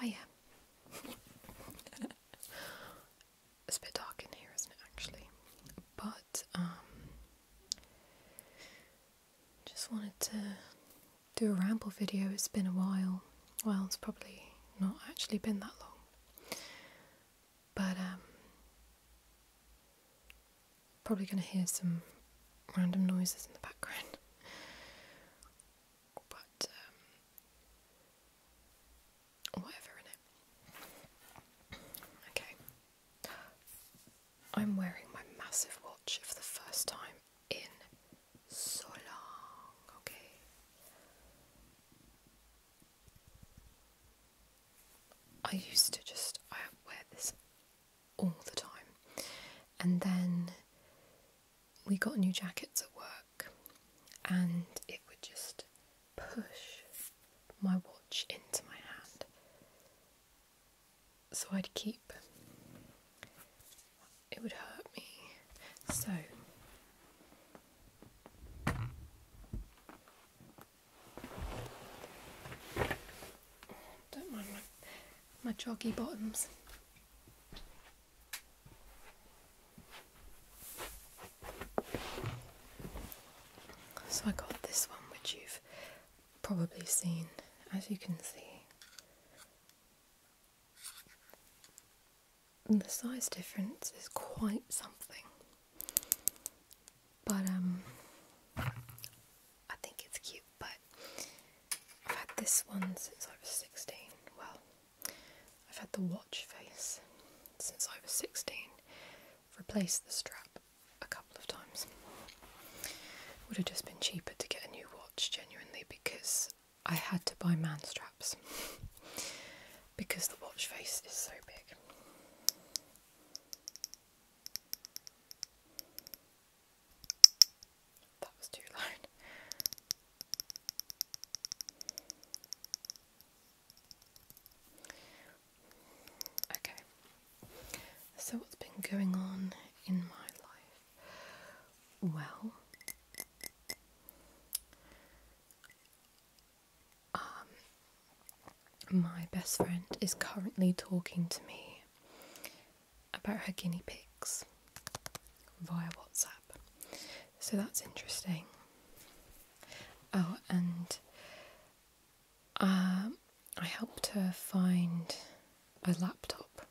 Hiya. it's a bit dark in here, isn't it, actually? But, um, just wanted to do a ramble video. It's been a while. Well, it's probably not actually been that long. But, um, probably going to hear some random noises in the background. But um, whatever Okay. I'm wearing my massive watch for the first time in so long. Okay. I used to just I wear this all the time. And then we got new jackets at work, and it would just push my watch into my hand. So I'd keep it would hurt me. So don't mind my my chalky bottoms. So I got this one which you've probably seen as you can see. And the size difference is quite something. But um I think it's cute, but I've had this one since I was 16. Well, I've had the watch face since I was 16. I've replaced the strap a couple of times. It would have just been cheaper to get a new watch, genuinely, because I had to buy man straps because the watch face is so big. That was too loud. Okay, so what's been going on in my life? Well, um, my best friend is currently talking to me about her guinea pigs via WhatsApp. So that's interesting. Oh, and um, I helped her find a laptop.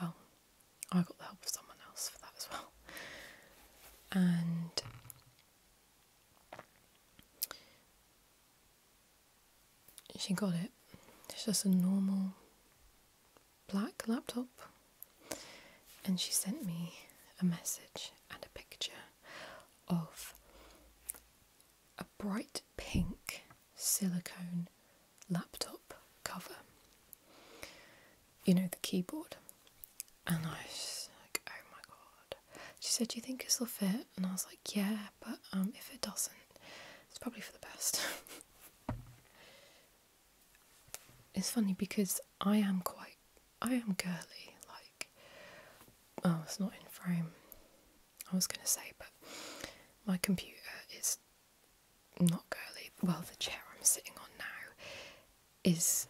Well, I got the help of someone else for that as well. And she got it. It's just a normal black laptop. And she sent me a message and a picture of a bright pink silicone laptop cover. You know, the keyboard. And I was like, oh my god. She said, Do you think this will fit? And I was like, yeah, but um, if it doesn't, it's probably for the best. it's funny because I am quite, I am girly, like, oh, it's not in frame. I was going to say, but my computer is not girly. Well, the chair I'm sitting on now is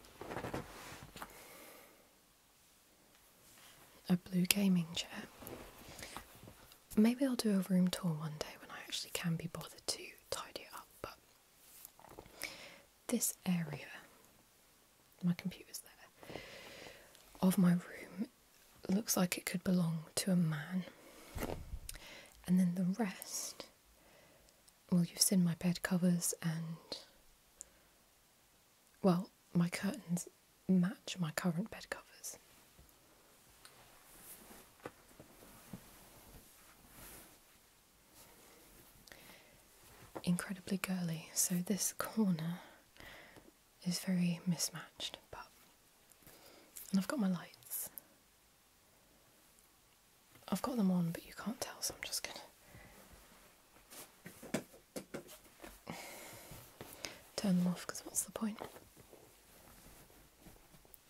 a blue gaming chair Maybe I'll do a room tour one day when I actually can be bothered to tidy it up, but this area, my computer's there, of my room looks like it could belong to a man. And then the rest, well, you've seen my bed covers and, well, my curtains match my current bed covers. Incredibly girly, so this corner is very mismatched, but and I've got my lights. I've got them on, but you can't tell, so I'm just gonna turn them off because what's the point?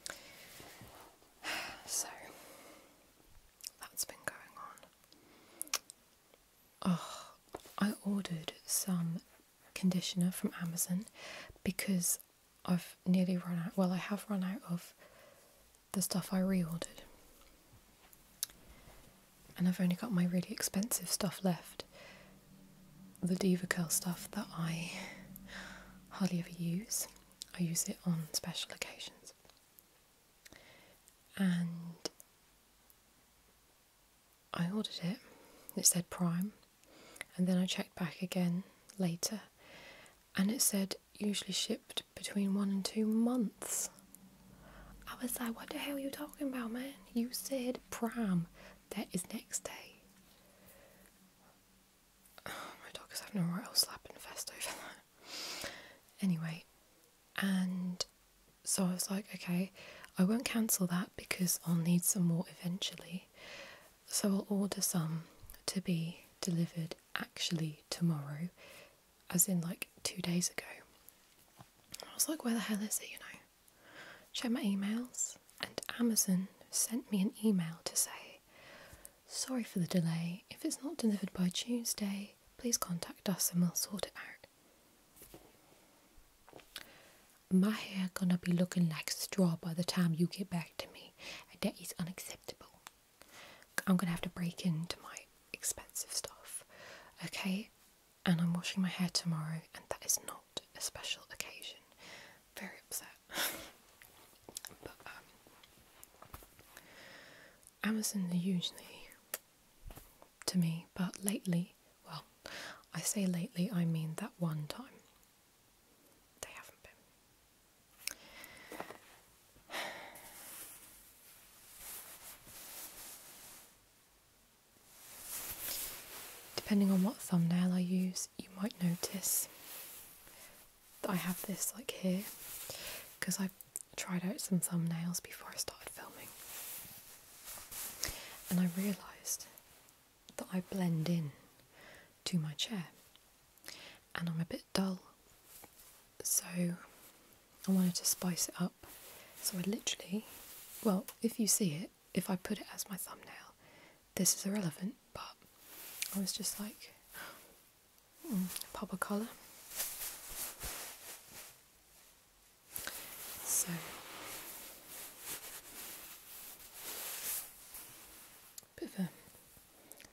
So that's been going on. Oh, I ordered some conditioner from Amazon because I've nearly run out. Well, I have run out of the stuff I reordered. And I've only got my really expensive stuff left the Diva Curl stuff that I hardly ever use. I use it on special occasions. And I ordered it, it said Prime, and then I checked back again later and it said usually shipped between one and two months. I was like, what the hell are you talking about, man? You said Prime, that is next day. Oh, my dog is having a royal slap and fest over that. Anyway, and so I was like, okay, I won't cancel that because I'll need some more eventually. So I'll order some to be delivered actually tomorrow, as in like two days ago. I was like, where the hell is it, you know? check my emails, and Amazon sent me an email to say, Sorry for the delay. If it's not delivered by Tuesday, please contact us and we'll sort it out. My hair gonna be looking like straw by the time you get back to me, and that is unacceptable. I'm gonna have to break into my expensive stuff, okay? And I'm washing my hair tomorrow, and that is not a special occasion. Very upset. Um, Amazon usually to me, but lately, well, I say lately, I mean that one time. They haven't been. Depending on what thumbnail I use, you might notice that I have this like here because i tried out some thumbnails before I started filming and I realised that I blend in to my chair and I'm a bit dull so I wanted to spice it up so I literally well if you see it if I put it as my thumbnail. This is irrelevant, but I was just like, hmm, pop a colour. So bit of a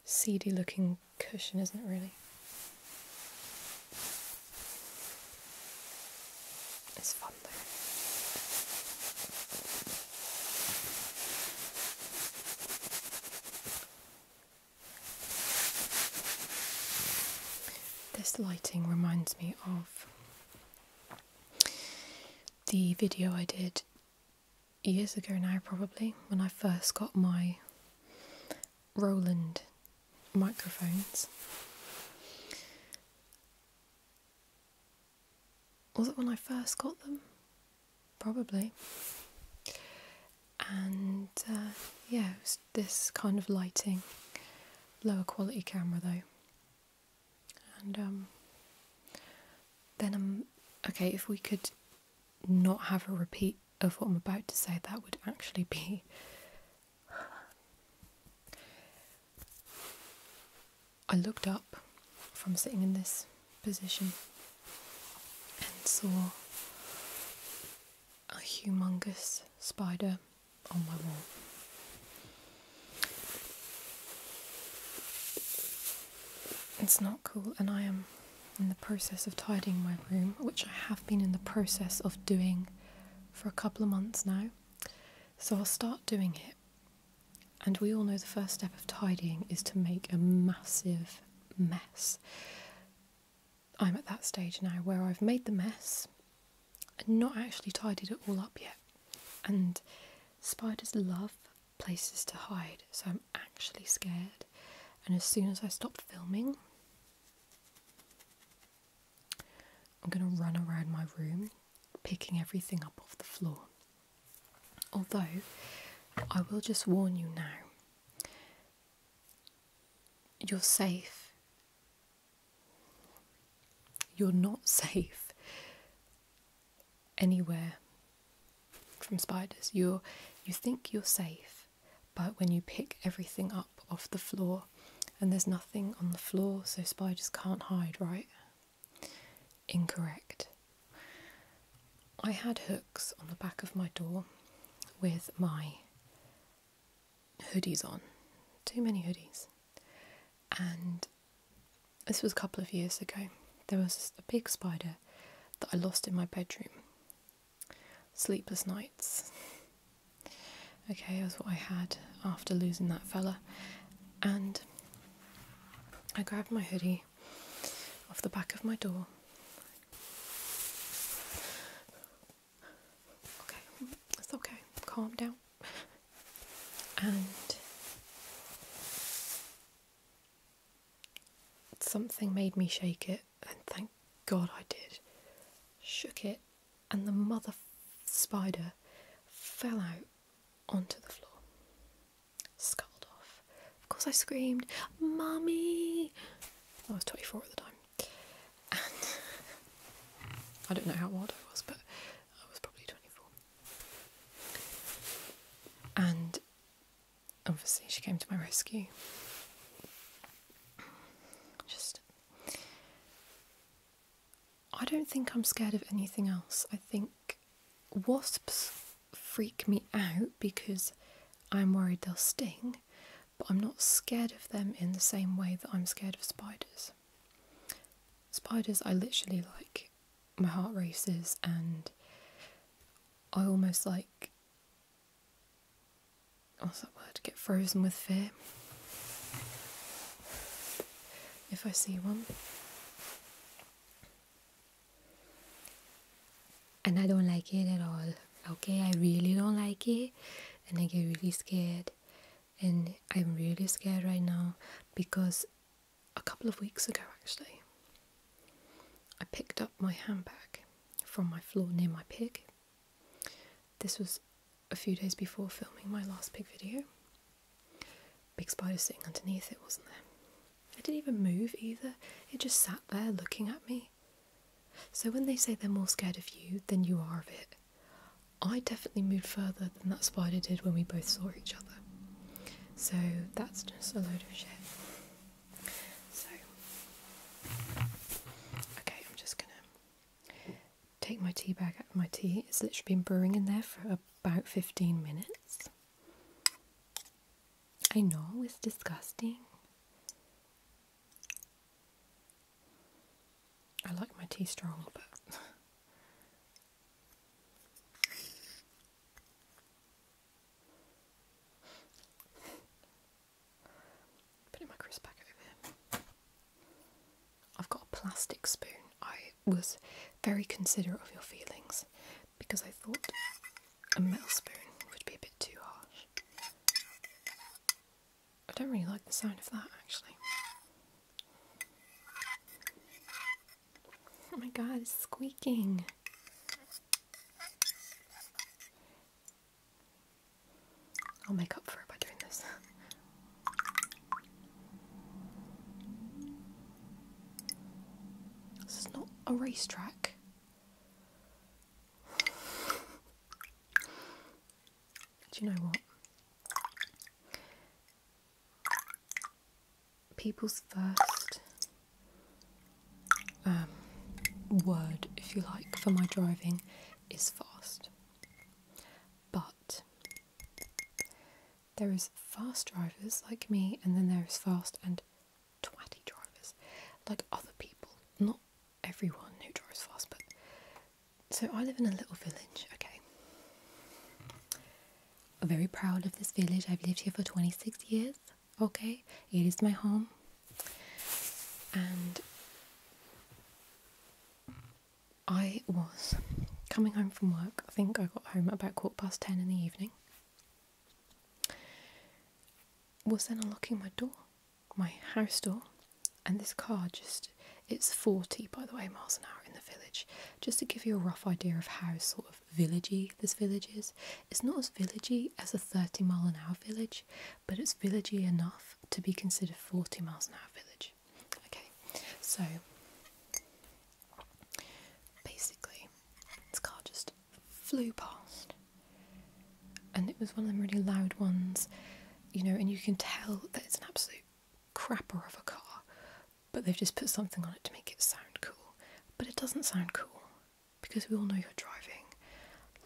seedy looking cushion, isn't it really? This lighting reminds me of the video I did years ago now, probably, when I first got my Roland microphones. Was it when I first got them? Probably. And uh, yeah, it was this kind of lighting, lower quality camera though. And um, then I'm okay. If we could not have a repeat of what I'm about to say, that would actually be I looked up from sitting in this position and saw a humongous spider on my wall. It's not cool, and I am in the process of tidying my room, which I have been in the process of doing for a couple of months now. So I'll start doing it and we all know the first step of tidying is to make a massive mess. I'm at that stage now where I've made the mess and not actually tidied it all up yet. And spiders love places to hide, so I'm actually scared. And as soon as I stop filming, I'm going to run around my room picking everything up off the floor. Although, I will just warn you now you're safe. You're not safe anywhere from spiders. You're, you think you're safe, but when you pick everything up off the floor, and there's nothing on the floor, so spiders can't hide, right? Incorrect. I had hooks on the back of my door with my hoodies on. Too many hoodies. And this was a couple of years ago. There was a big spider that I lost in my bedroom. Sleepless nights. okay, that's what I had after losing that fella. And I grabbed my hoodie off the back of my door. Okay, it's okay, calm down. And something made me shake it, and thank God I did. Shook it, and the mother spider fell out onto the floor, sculled off. Of course, I screamed, "Mommy!" I was 24 at the time. And I don't know how old I was, but I was probably 24. And obviously, she came to my rescue. Just I don't think I'm scared of anything else. I think wasps freak me out because I'm worried they'll sting, but I'm not scared of them in the same way that I'm scared of spiders. Spiders, I literally like, my heart races and I almost like, what's that word, get frozen with fear if I see one. And I don't like it at all. Okay, I really don't like it, and I get really scared. And I'm really scared right now because a couple of weeks ago, actually, I picked up my handbag from my floor near my pig. This was a few days before filming my last pig video, Big spider sitting underneath it, wasn't there? It didn't even move either, it just sat there looking at me. So when they say they're more scared of you than you are of it, I definitely moved further than that spider did when we both saw each other. So that's just a load of shit. So, okay, I'm just gonna take my tea bag out of my tea. It's literally been brewing in there for a about 15 minutes. I know it's disgusting. I like my tea strong, but putting my crisp back over here. I've got a plastic spoon. I was very considerate of your feelings because I thought a metal spoon would be a bit too harsh. I don't really like the sound of that actually. Oh my god, it's squeaking. I'll make up for it by doing this. This is not a racetrack. Do you know what? People's first um, word, if you like, for my driving is fast. But there is fast drivers like me, and then there is fast and twatty drivers like other people. Not everyone who drives fast, but so I live in a little village, okay. very proud of this village. I've lived here for 26 years, okay. It is my home, and I was coming home from work. I think I got home about quarter past ten in the evening. Was then unlocking my door, my house door, and this car just it's 40 by the way miles an hour in the village just to give you a rough idea of how sort of villagey this village is it's not as villagey as a 30 mile an hour village but it's villagey enough to be considered 40 miles an hour village Okay, so basically, this car just flew past, and it was one of them really loud ones, you know, and you can tell that it's an absolute crapper of a car, but they've just put something on it to make it sound cool. But it doesn't sound cool because we all know you're driving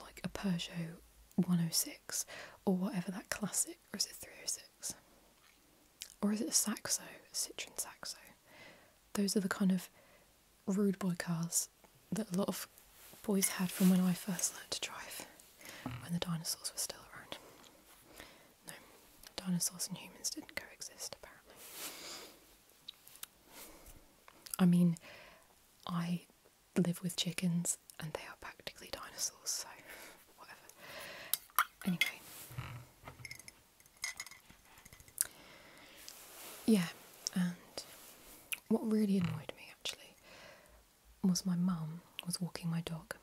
like a Peugeot 106 or whatever that classic, or is it 306? or is it a Saxo, a Citroen Saxo? Those are the kind of rude boy cars that a lot of boys had from when I first learnt to drive, when the dinosaurs were still around. No, dinosaurs and humans didn't coexist apparently. I mean, I live with chickens and they are practically dinosaurs, so whatever. Anyway. Yeah, and what really annoyed me actually was my mum was walking my dog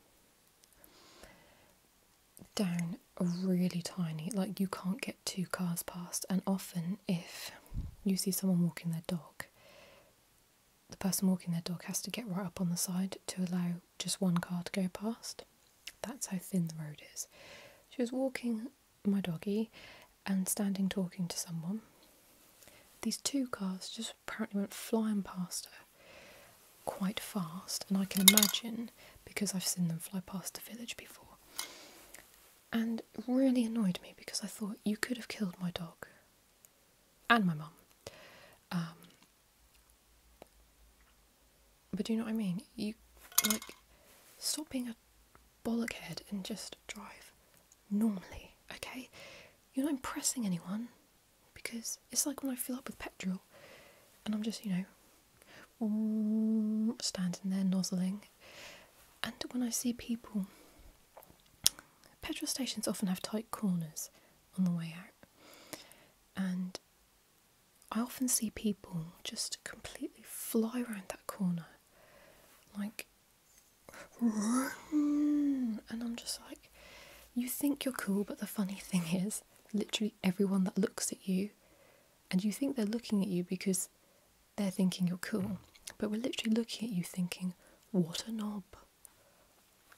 down a really tiny, like you can't get two cars past, and often if you see someone walking their dog, the person walking their dog has to get right up on the side to allow just one car to go past. That's how thin the road is. She was walking my doggy and standing talking to someone. These two cars just apparently went flying past her quite fast, and I can imagine because I've seen them fly past the village before. And really annoyed me because I thought you could have killed my dog and my mum. Um, but do you know what I mean? You like stop being a bollockhead and just drive normally, okay? You're not impressing anyone because it's like when I fill up with petrol and I'm just, you know, standing there nozzling. And when I see people, petrol stations often have tight corners on the way out, and I often see people just completely fly around that corner, like run, and I'm just like, you think you're cool, but the funny thing is, literally everyone that looks at you, and you think they're looking at you because they're thinking you're cool, but we're literally looking at you thinking, what a knob.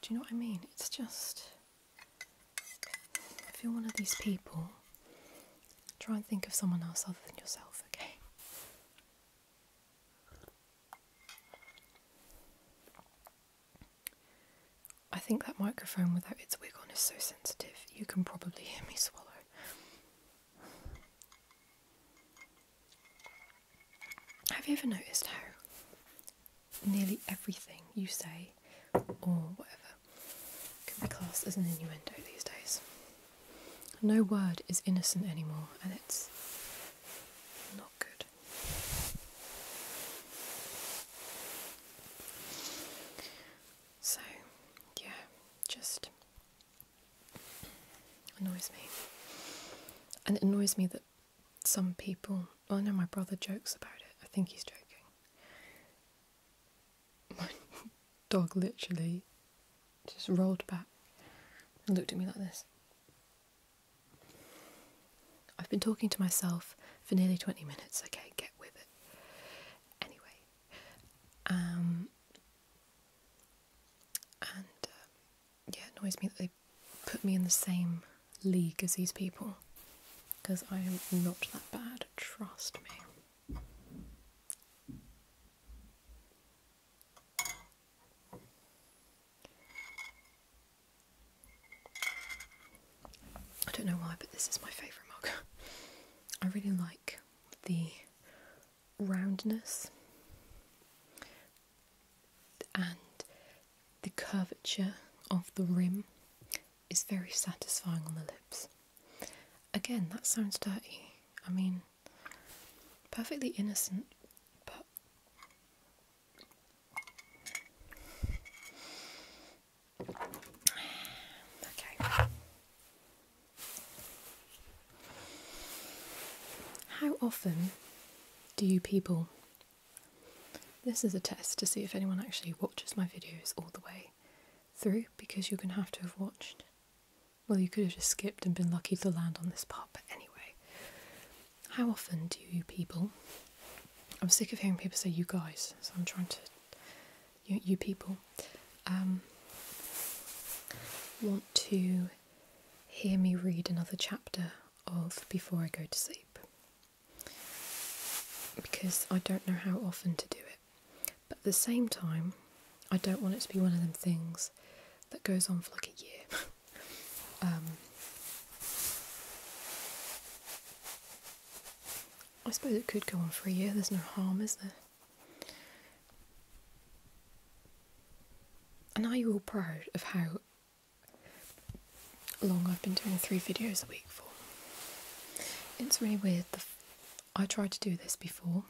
Do you know what I mean? It's just. If you're one of these people, try and think of someone else other than yourself, okay? I think that microphone without its wig on is so sensitive, you can probably hear me swallow. Have you ever noticed how nearly everything you say or whatever can be classed as an innuendo these days. No word is innocent anymore, and it's not good. So, yeah, just annoys me. And it annoys me that some people, well, I know my brother jokes about it. I think he's joking. My dog literally just rolled back and looked at me like this. I've been talking to myself for nearly 20 minutes, okay, get with it. Anyway, um, and uh, yeah, it annoys me that they put me in the same league as these people because I am not that bad, trust me. I don't know why, but this is my favourite mug. I really like the roundness and the curvature of the rim is very satisfying on the lips. Again, that sounds dirty. I mean, perfectly innocent, but okay. How often do you people this is a test to see if anyone actually watches my videos all the way through because you're going to have to have watched. Well, you could have just skipped and been lucky to land on this part, but anyway. How often do you people. I'm sick of hearing people say you guys, so I'm trying to. You, you people. Um, want to hear me read another chapter of Before I Go to Sleep because I don't know how often to do it. But at the same time, I don't want it to be one of them things that goes on for like a year. um, I suppose it could go on for a year, there's no harm, is there? And are you all proud of how long I've been doing three videos a week for. It's really weird. I tried to do this before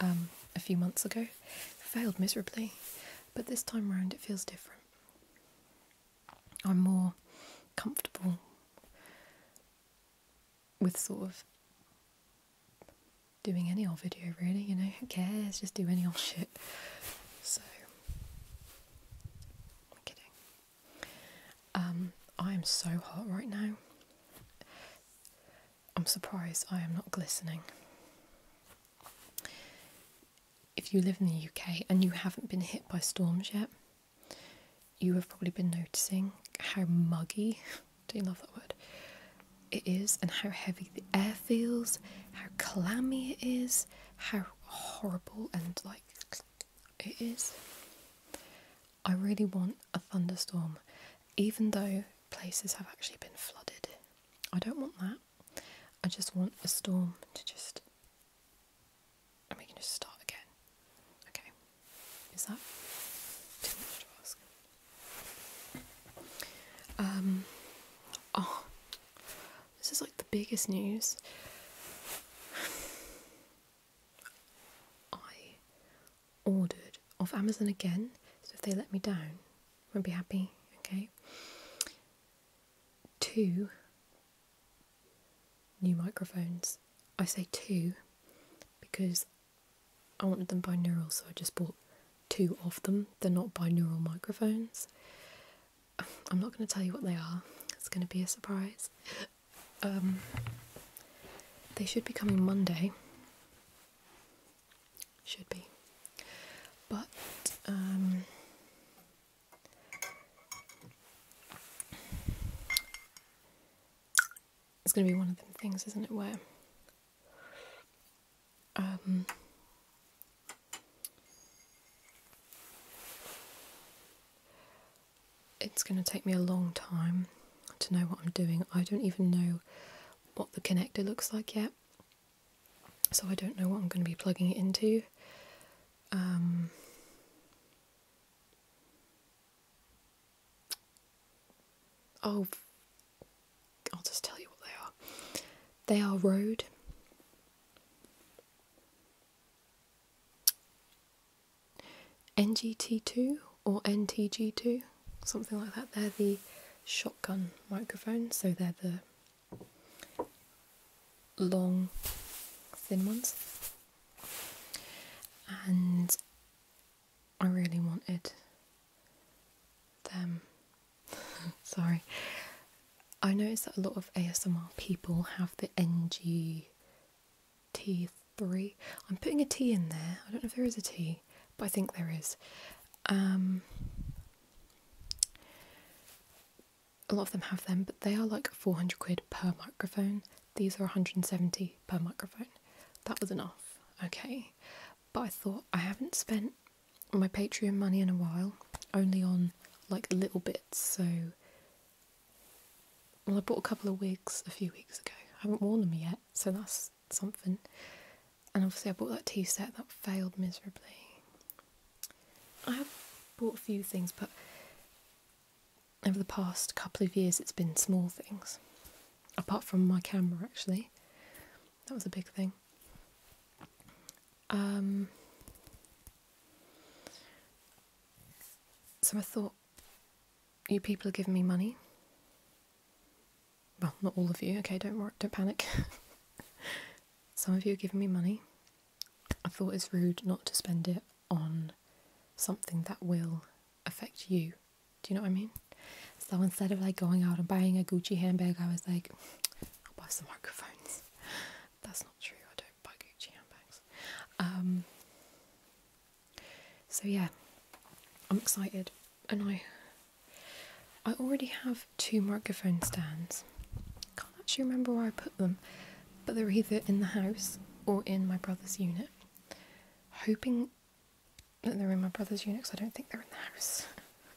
um, a few months ago, failed miserably, but this time around it feels different. I'm more comfortable with sort of doing any old video, really, you know, who cares, just do any old shit. So, I'm kidding. Um, I am so hot right now. I'm surprised I am not glistening. If you live in the UK and you haven't been hit by storms yet, you have probably been noticing how muggy, do you love that word, it is and how heavy the air feels, how clammy it is, how horrible and like it is. I really want a thunderstorm, even though places have actually been flooded. I don't want that. I just want a storm to just. And we can just start again. Okay. Is that too much to ask? Um. Oh. This is like the biggest news. I ordered off Amazon again, so if they let me down, I won't be happy, okay? Two new microphones. I say two because I wanted them binaural, so I just bought two of them. They're not binaural microphones. I'm not going to tell you what they are, it's going to be a surprise. Um, they should be coming Monday. Should be. But, um, it's going to be one of them things, isn't it, where um, it's going to take me a long time to know what I'm doing. I don't even know what the connector looks like yet, so I don't know what I'm going to be plugging it into. Um, oh, I'll just tell you what they are. They are Rode NGT2 or NTG2, something like that. They're the shotgun microphones, so they're the long, thin ones. And I really wanted them Sorry. I noticed that a lot of ASMR people have the NGT3. I'm putting a T in there. I don't know if there is a T, but I think there is. Um, a lot of them have them, but they are like 400 quid per microphone. These are 170 per microphone. That was enough, okay. But I thought I haven't spent my Patreon money in a while, only on like little bits. So, well, I bought a couple of wigs a few weeks ago. I haven't worn them yet, so that's something. And obviously, I bought that tea set that failed miserably. I have bought a few things, but over the past couple of years, it's been small things. Apart from my camera, actually, that was a big thing. Um, so I thought, you people are giving me money. Well, not all of you. Okay, don't worry, don't panic. Some of you are giving me money. I thought it's rude not to spend it on something that will affect you. Do you know what I mean? So instead of like going out and buying a Gucci handbag, I was like, I'll buy some microphones. That's not true, I don't buy Gucci handbags. Um, so yeah, I'm excited and I I already have two microphone stands. Can't actually remember where I put them, but they're either in the house or in my brother's unit. Hoping that they're in my brother's unit because I don't think they're in the house.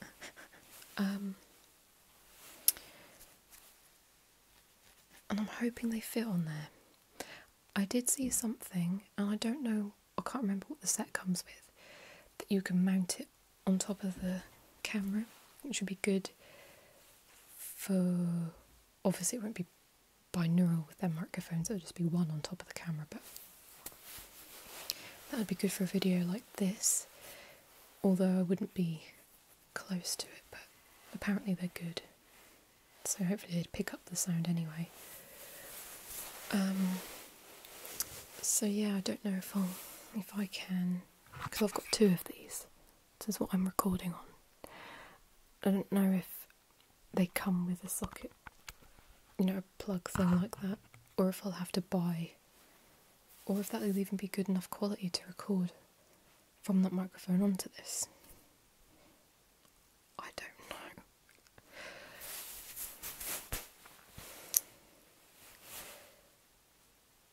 Um, and I'm hoping they fit on there. I did see something, and I don't know, I can't remember what the set comes with, that you can mount it on top of the camera, which would be good for. Obviously, it won't be binaural with their microphones, it'll just be one on top of the camera, but that would be good for a video like this. Although I wouldn't be close to it, but apparently they're good. So hopefully they'd pick up the sound anyway. Um, so yeah, I don't know if I'll if I can because I've got two of these. This is what I'm recording on. I don't know if they come with a socket, you know, a plug thing like that, or if I'll have to buy or if that will even be good enough quality to record from that microphone onto this. I don't know.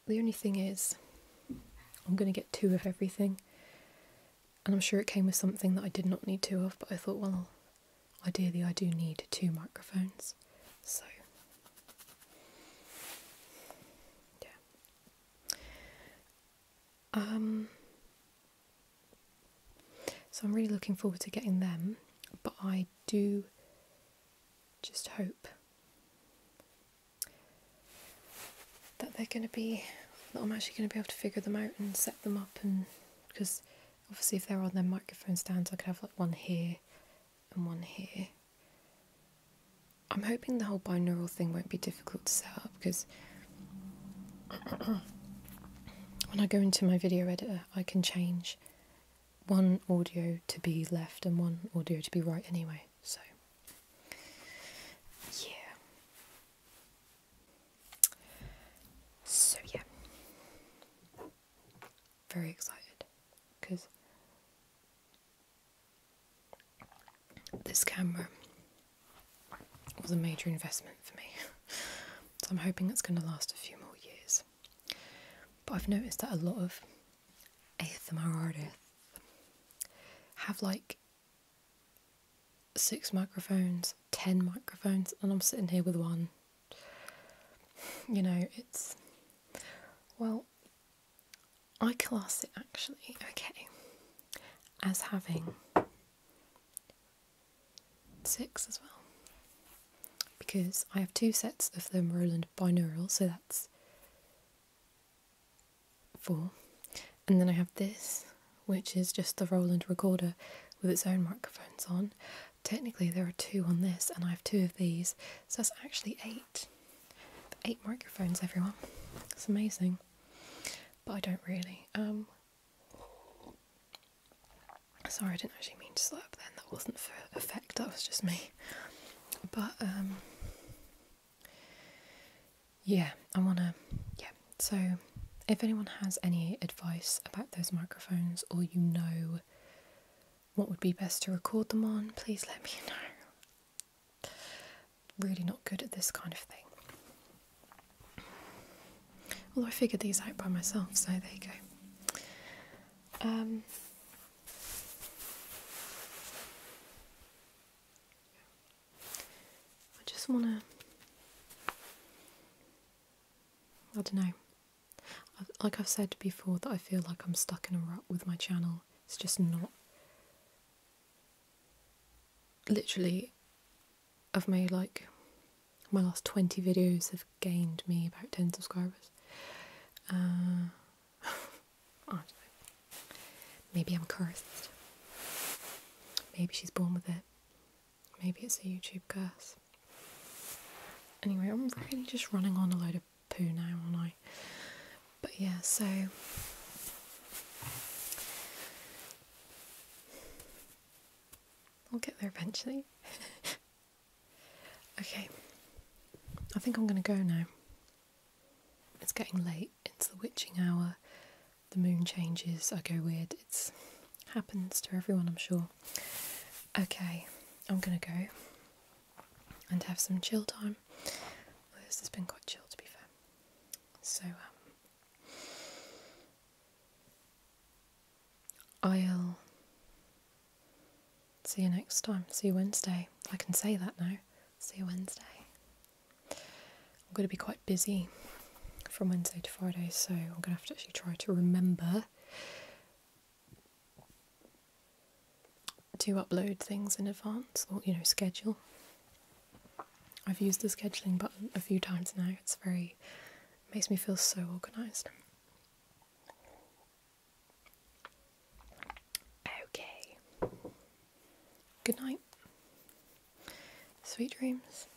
The only thing is, I'm going to get two of everything, and I'm sure it came with something that I did not need two of, but I thought, well, ideally, I do need two microphones. So, yeah. Um, so, I'm really looking forward to getting them, but I do just hope that they're going to be, that I'm actually going to be able to figure them out and set them up, and because obviously, if they're on their microphone stands, I could have like one here and one here I'm hoping the whole binaural thing won't be difficult to set up because when I go into my video editor, I can change one audio to be left and one audio to be right anyway. So, yeah. So, yeah. Very excited because this camera was a major investment for me, so I'm hoping it's going to last a few more years. But I've noticed that a lot of ASMR artists have like six microphones, ten microphones, and I'm sitting here with one. You know, it's well, I class it actually, okay, as having six as well. Because I have two sets of the Roland binaural, so that's four. And then I have this, which is just the Roland recorder with its own microphones on. Technically, there are two on this, and I have two of these, so that's actually eight. Eight microphones, everyone. It's amazing. But I don't really. Um, sorry, I didn't actually mean to slap then. That wasn't for effect, that was just me. But, um, yeah, I want to, yeah. So, if anyone has any advice about those microphones or you know what would be best to record them on, please let me know. Really not good at this kind of thing. Although I figured these out by myself, so there you go. Um, I just want to. I don't know. Like I've said before, that I feel like I'm stuck in a rut with my channel it's just not. Literally, of my like my last 20 videos have gained me about 10 subscribers. Uh, Maybe I'm cursed. Maybe she's born with it. Maybe it's a YouTube curse. Anyway, I'm really just running on a load of poo now, aren't I? But yeah, so I'll get there eventually. okay, I think I'm going to go now. It's getting late, it's the witching hour, the moon changes, I go weird, it's happens to everyone, I'm sure. Okay, I'm going to go and have some chill time. this has been quite chill to be fair. So, um, I'll see you next time. See you Wednesday. I can say that now. See you Wednesday. I'm going to be quite busy from Wednesday to Friday, so I'm going to have to actually try to remember to upload things in advance or, you know, schedule. I've used the scheduling button a few times now. It's very, makes me feel so organised. Okay. Good night. Sweet dreams.